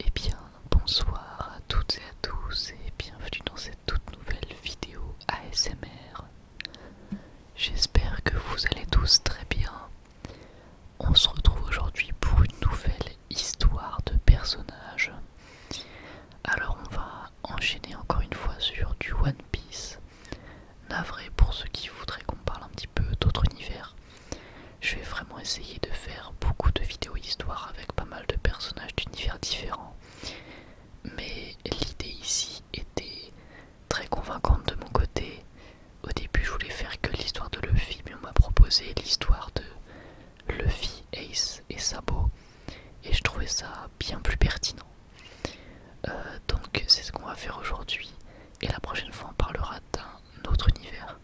Et eh bien, bonsoir à toutes et à tous et bienvenue dans cette toute nouvelle vidéo ASMR. J'espère que vous allez tous très bien. On se retrouve aujourd'hui pour une nouvelle histoire de personnages. Alors on va enchaîné enchaîner encore une fois sur du One Piece. Navré pour ceux qui voudraient qu'on parle un petit peu d'autres univers. Je vais vraiment essayer de faire beaucoup de vidéos histoires avec pas mal de personnages d'univers différents. Mais l'idée ici était très convaincante de mon côté. Au début, je voulais faire que l'histoire de Luffy, mais on m'a proposé l'histoire de Luffy, Ace et Sabo et je trouvais ça bien plus pertinent. Euh, donc c'est ce qu'on va faire aujourd'hui et la prochaine fois on parlera d'un autre univers.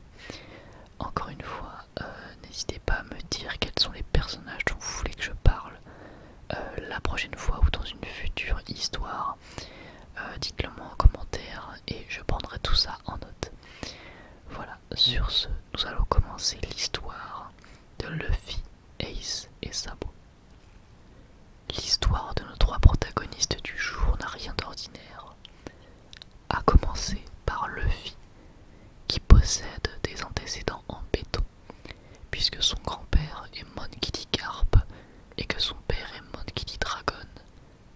Encore une fois, euh, n'hésitez pas à me dire quels sont les personnages dont vous voulez que je parle euh, la prochaine fois ou dans une future histoire. Dites-le moi en commentaire et je prendrai tout ça en note. Voilà, sur ce, nous allons commencer l'histoire de Luffy, Ace et Sabo. L'histoire de nos trois protagonistes du jour n'a rien d'ordinaire, à commencer par Luffy, qui possède des antécédents en béton, puisque son grand-père est Mon Carp et que son père est Mon dit Dragon,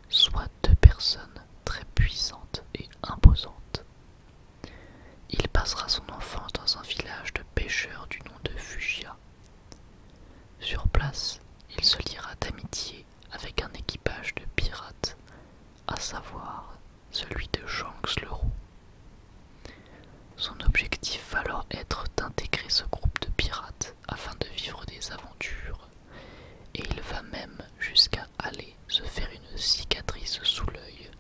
soit deux personnes très puissantes et imposantes. Il passera son enfance dans un village de pêcheurs du nom de Fugia. Sur place, il se liera d'amitié avec un équipage de pirates, à savoir celui de Shanks le Roux. Son objectif va alors être d'intégrer ce groupe de pirates afin de vivre des aventures et il va même jusqu'à aller se faire une cicatrice sous l'œil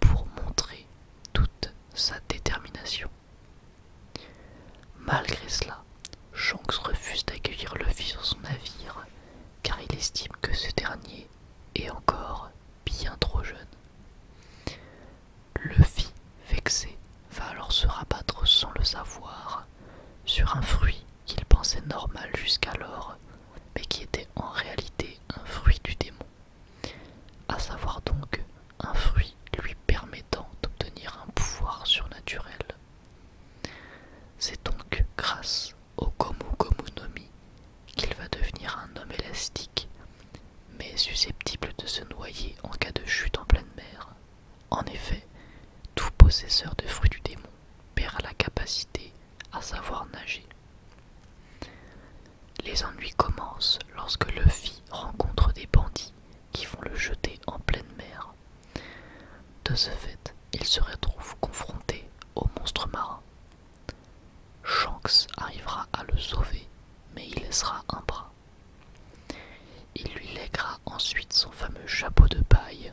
pour montrer toute sa détermination. Malgré cela, Shanks refuse d'accueillir Luffy sur son navire car il estime que ce dernier est encore bien trop jeune. Luffy, vexé, va alors se rabattre sans le savoir sur un fruit qu'il pensait normal jusqu'alors, mais qui était en réalité un fruit du démon, à savoir donc un fruit lui permettant d'obtenir un pouvoir surnaturel. C'est donc grâce au Gomu Gomu Nomi qu'il va devenir un homme élastique, mais susceptible de se noyer en cas de chute en pleine mer. En effet, tout possesseur de fruits du démon perd la capacité à savoir nager. Les ennuis commencent lorsque Luffy rencontre des bandits qui vont le jeter en pleine mer. De ce fait, il se retrouve confronté au monstre marin. Shanks arrivera à le sauver, mais il laissera un bras. Il lui lèguera ensuite son fameux chapeau de paille,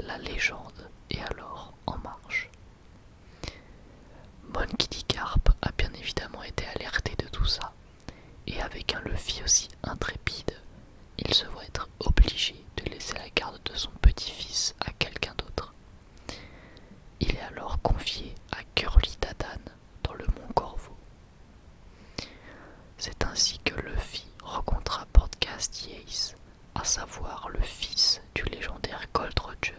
la légende est alors en marche. Monkidicarp a bien évidemment été alerté de tout ça, et avec un Luffy aussi intrépide, il se voit être obligé de laisser la garde de son petit-fils à quelqu'un d'autre. Il est alors confié à Curly Dadan dans le Mont Corvo. C'est ainsi que Luffy rencontra Podcast Yace, à savoir le fils du légendaire Gold Roger.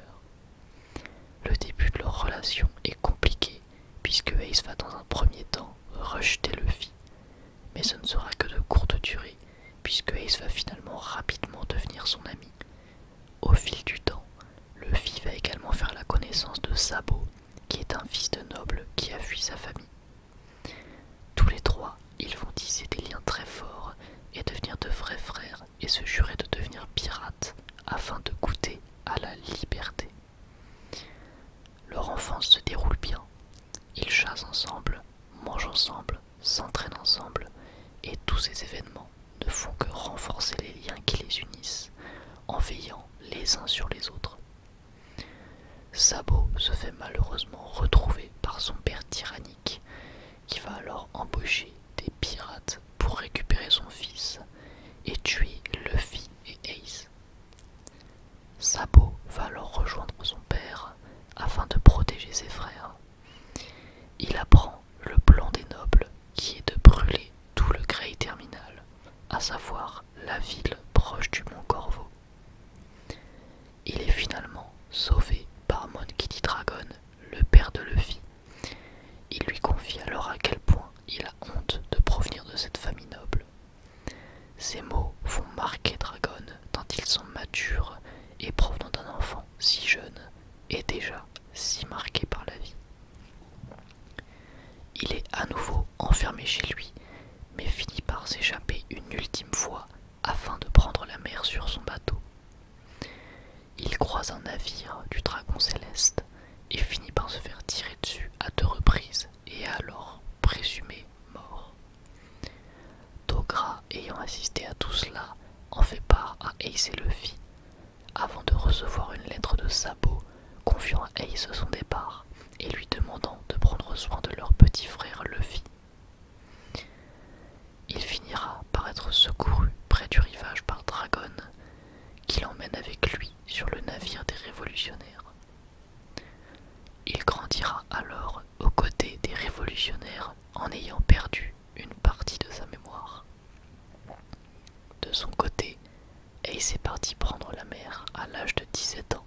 Le début de leur relation est compliqué puisque Ace va dans un premier temps rejeter Luffy, mais ce ne sera que de courte durée puisque Ace va finalement rapidement devenir son ami. Au fil du temps, Luffy va également faire la connaissance de Sabo, qui est un fils de noble qui a fui sa famille. Tous les trois, ils vont tisser des liens très forts et devenir de vrais frères et se jurer de devenir pirates afin de goûter à la liberté. Leur enfance se déroule bien. Ils chassent ensemble, mangent ensemble, s'entraînent ensemble, et tous ces événements ne font que renforcer les liens qui les unissent en veillant les uns sur les autres. Sabo se fait malheureusement retrouver par son père tyrannique, qui va alors embaucher des pirates pour récupérer son fils et tuer Luffy et Ace. Sabo va alors rejoindre son père afin de protéger ses frères. Il apprend le plan des nobles qui est de brûler tout le Grey Terminal, à savoir la ville proche du mont Corvo. Il est finalement sauvé par dit Dragon, le père de Luffy. Il lui confie alors à quel point il a honte de provenir de cette famille noble. Ces mots font marquer Dragon tant ils sont matures et provenant d'un enfant si jeune et déjà si marqué par la vie. Il est à nouveau enfermé chez lui, mais finit par s'échapper une ultime fois afin de prendre la mer sur son bateau. Il croise un navire du dragon céleste et finit par se faire tirer dessus à deux reprises et est alors présumé mort. Dogra, ayant assisté à tout cela, en fait part à Ace et Luffy, avant de recevoir une lettre de Sabot confiant à Ace son départ et lui demandant de prendre soin de leur petit frère Luffy. Il finira par être secouru près du rivage par Dragon, qui l'emmène avec lui sur le navire des révolutionnaires. Il grandira alors aux côtés des révolutionnaires en ayant perdu une partie de sa mémoire. De son côté, Ace est parti prendre la mer à l'âge de 17 ans,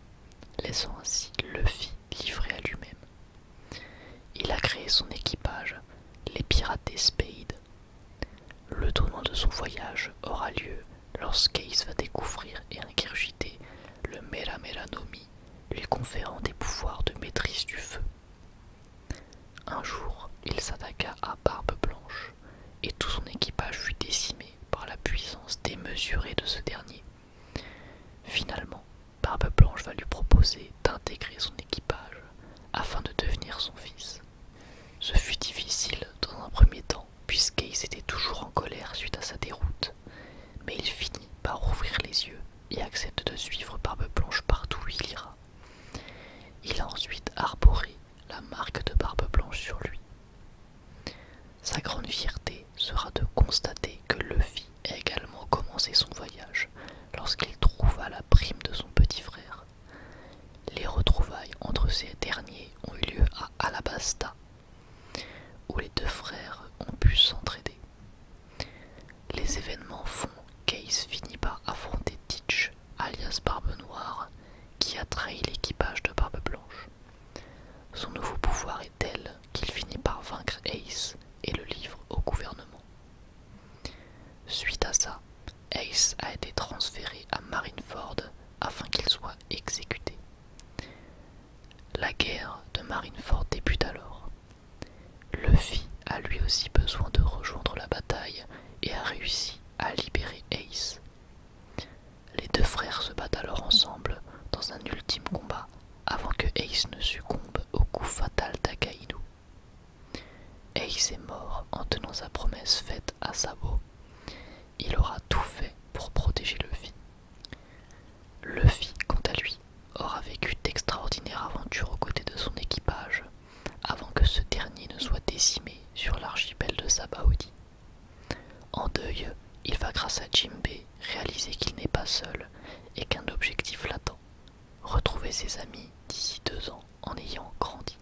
laissant ainsi le Luffy livré à lui-même. Il a créé son équipage, les pirates des Le tournant de son voyage aura lieu lorsqu'Ace va découvrir et incurgiter le Mera Mera Nomi, lui conférant des pouvoirs de maîtrise du feu un jour, il s'attaqua à Barbe Blanche, et tout son équipage fut décimé par la puissance démesurée de ce dernier. Finalement, Barbe Blanche va lui proposer d'intégrer son équipage afin de devenir son fils. Ce fut difficile dans un premier temps, puisque puisqu'Ace était toujours en colère suite à sa déroute, mais il finit par ouvrir les yeux et accepte de suivre Barbe Blanche partout où il ira. Il a ensuite arboré la marque de Barbe Blanche sur lui. Sa grande fierté sera de constater que Luffy a également commencé son voyage lorsqu'il trouva la prime de son petit frère. Les retrouvailles entre ces derniers ont eu lieu à Alabasta, où les deux frères ont pu s'entraider. Les événements font qu'Ace finit par affronter Teach, alias Barbe Noire, qui a trahi l'équipage de Barbe Blanche. Son nouveau pouvoir est tel qu'il finit par vaincre Ace et le livre au gouvernement. Suite à ça, Ace a été transféré à Marineford afin qu'il soit exécuté. La guerre de Marineford débute alors. Luffy a lui aussi besoin de rejoindre la bataille et a réussi à libérer Ace. Les deux frères se battent alors ensemble dans un ultime combat avant que Ace ne succombe au coup fatal d'Akainu. Ace est mort en tenant sa promesse faite à Sabo. Il aura tout fait pour protéger Luffy. Luffy, quant à lui, aura vécu d'extraordinaires aventures aux côtés de son équipage avant que ce dernier ne soit décimé sur l'archipel de Sabaody. En deuil, il va grâce à Jimbe réaliser qu'il n'est pas seul et qu'un objectif l'attend, retrouver ses amis d'ici deux ans en ayant grandi.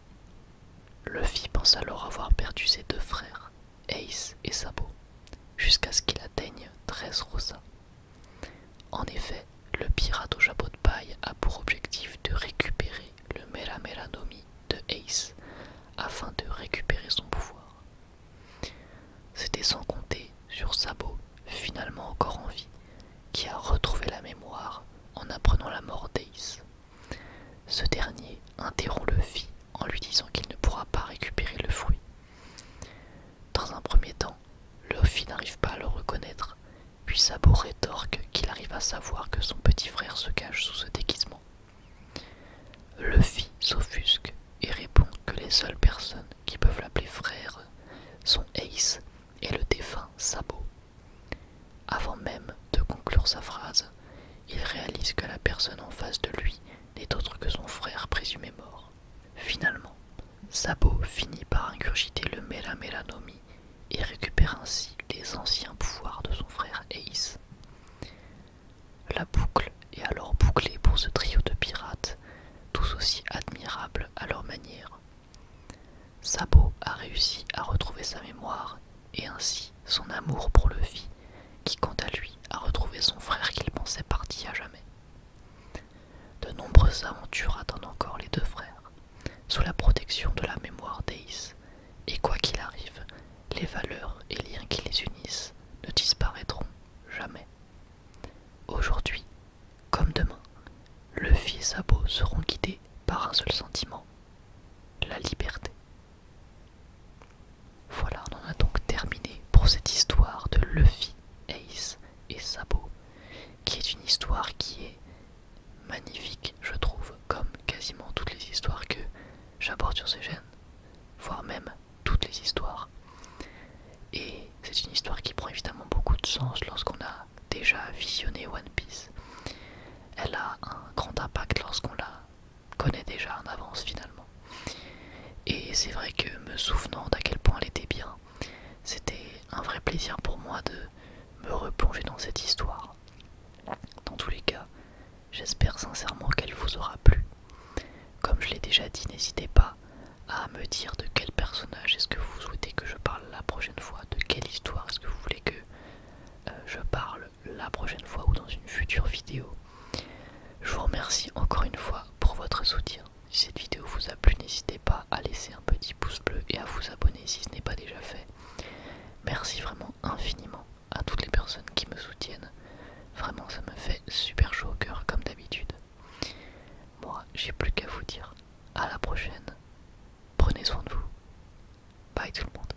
Luffy pense alors avoir perdu ses deux frères, Ace et Sabo, jusqu'à ce qu'il atteigne 13 Rosa, en effet, le pirate au chapeau de paille a pour objectif de récupérer le Mera Mera Nomi de Ace afin de récupérer son pouvoir. C'était sans compter sur Sabo, finalement encore en vie, qui a retrouvé la mémoire en apprenant la mort d'Ace. Ce dernier interrompt le vie en lui disant qu'il ne pourra pas récupérer le fruit. Dans un premier temps, Luffy n'arrive pas à le reconnaître, puis Sabo rétorque qu'il arrive à savoir que son petit frère se cache sous ce déguisement. Luffy s'offusque et répond que les seules personnes qui peuvent l'appeler frère sont Ace et le défunt Sabo. Avant même de conclure sa phrase, il réalise que la personne en face de lui n'est autre que son frère présumé mort. Finalement, Sabo finit par incurgiter le Nomi et récupère ainsi les anciens pouvoirs de son frère Ace. La boucle est alors bouclée pour ce trio de pirates, tous aussi admirables à leur manière. Sabo a réussi à retrouver sa mémoire et ainsi son amour pour le vie qui quant à lui a retrouvé son frère qu'il pensait parti à jamais. De nombreuses aventures attendent encore les deux frères, sous la protection de la mémoire d'Ace, et quoi qu'il arrive, les valeurs et liens qui les unissent ne disparaîtront jamais. Aujourd'hui, comme demain, fils et beau seront guidés par un seul sentiment, la liberté. Voilà, on en a donc terminé pour cette histoire de Luffy, Ace et Sabo, qui est une histoire qui est magnifique, je trouve, comme quasiment toutes les histoires que j'aborde sur ces chaînes, voire même toutes les histoires. Et c'est une histoire qui prend évidemment beaucoup de sens lorsqu'on a déjà visionné One Piece. Elle a un grand impact lorsqu'on l'a connaît déjà en avance finalement. Et c'est vrai que me souvenant d'à quel point elle était bien, c'était un vrai plaisir pour moi de me replonger dans cette histoire. Dans tous les cas, j'espère sincèrement qu'elle vous aura plu. Comme je l'ai déjà dit, n'hésitez pas à me dire de quel personnage est-ce que vous souhaitez que je parle la prochaine fois, de quelle histoire est-ce que vous voulez que euh, je parle la prochaine fois ou dans une future vidéo. Je vous remercie encore une fois pour votre soutien. Si cette vidéo vous a plu, n'hésitez pas à laisser un petit pouce bleu et à vous abonner si ce n'est pas déjà fait. Merci vraiment infiniment à toutes les personnes qui me soutiennent. Vraiment, ça me fait super chaud au cœur comme d'habitude. Moi, j'ai plus qu'à vous dire à la prochaine. Prenez soin de vous. Bye tout le monde.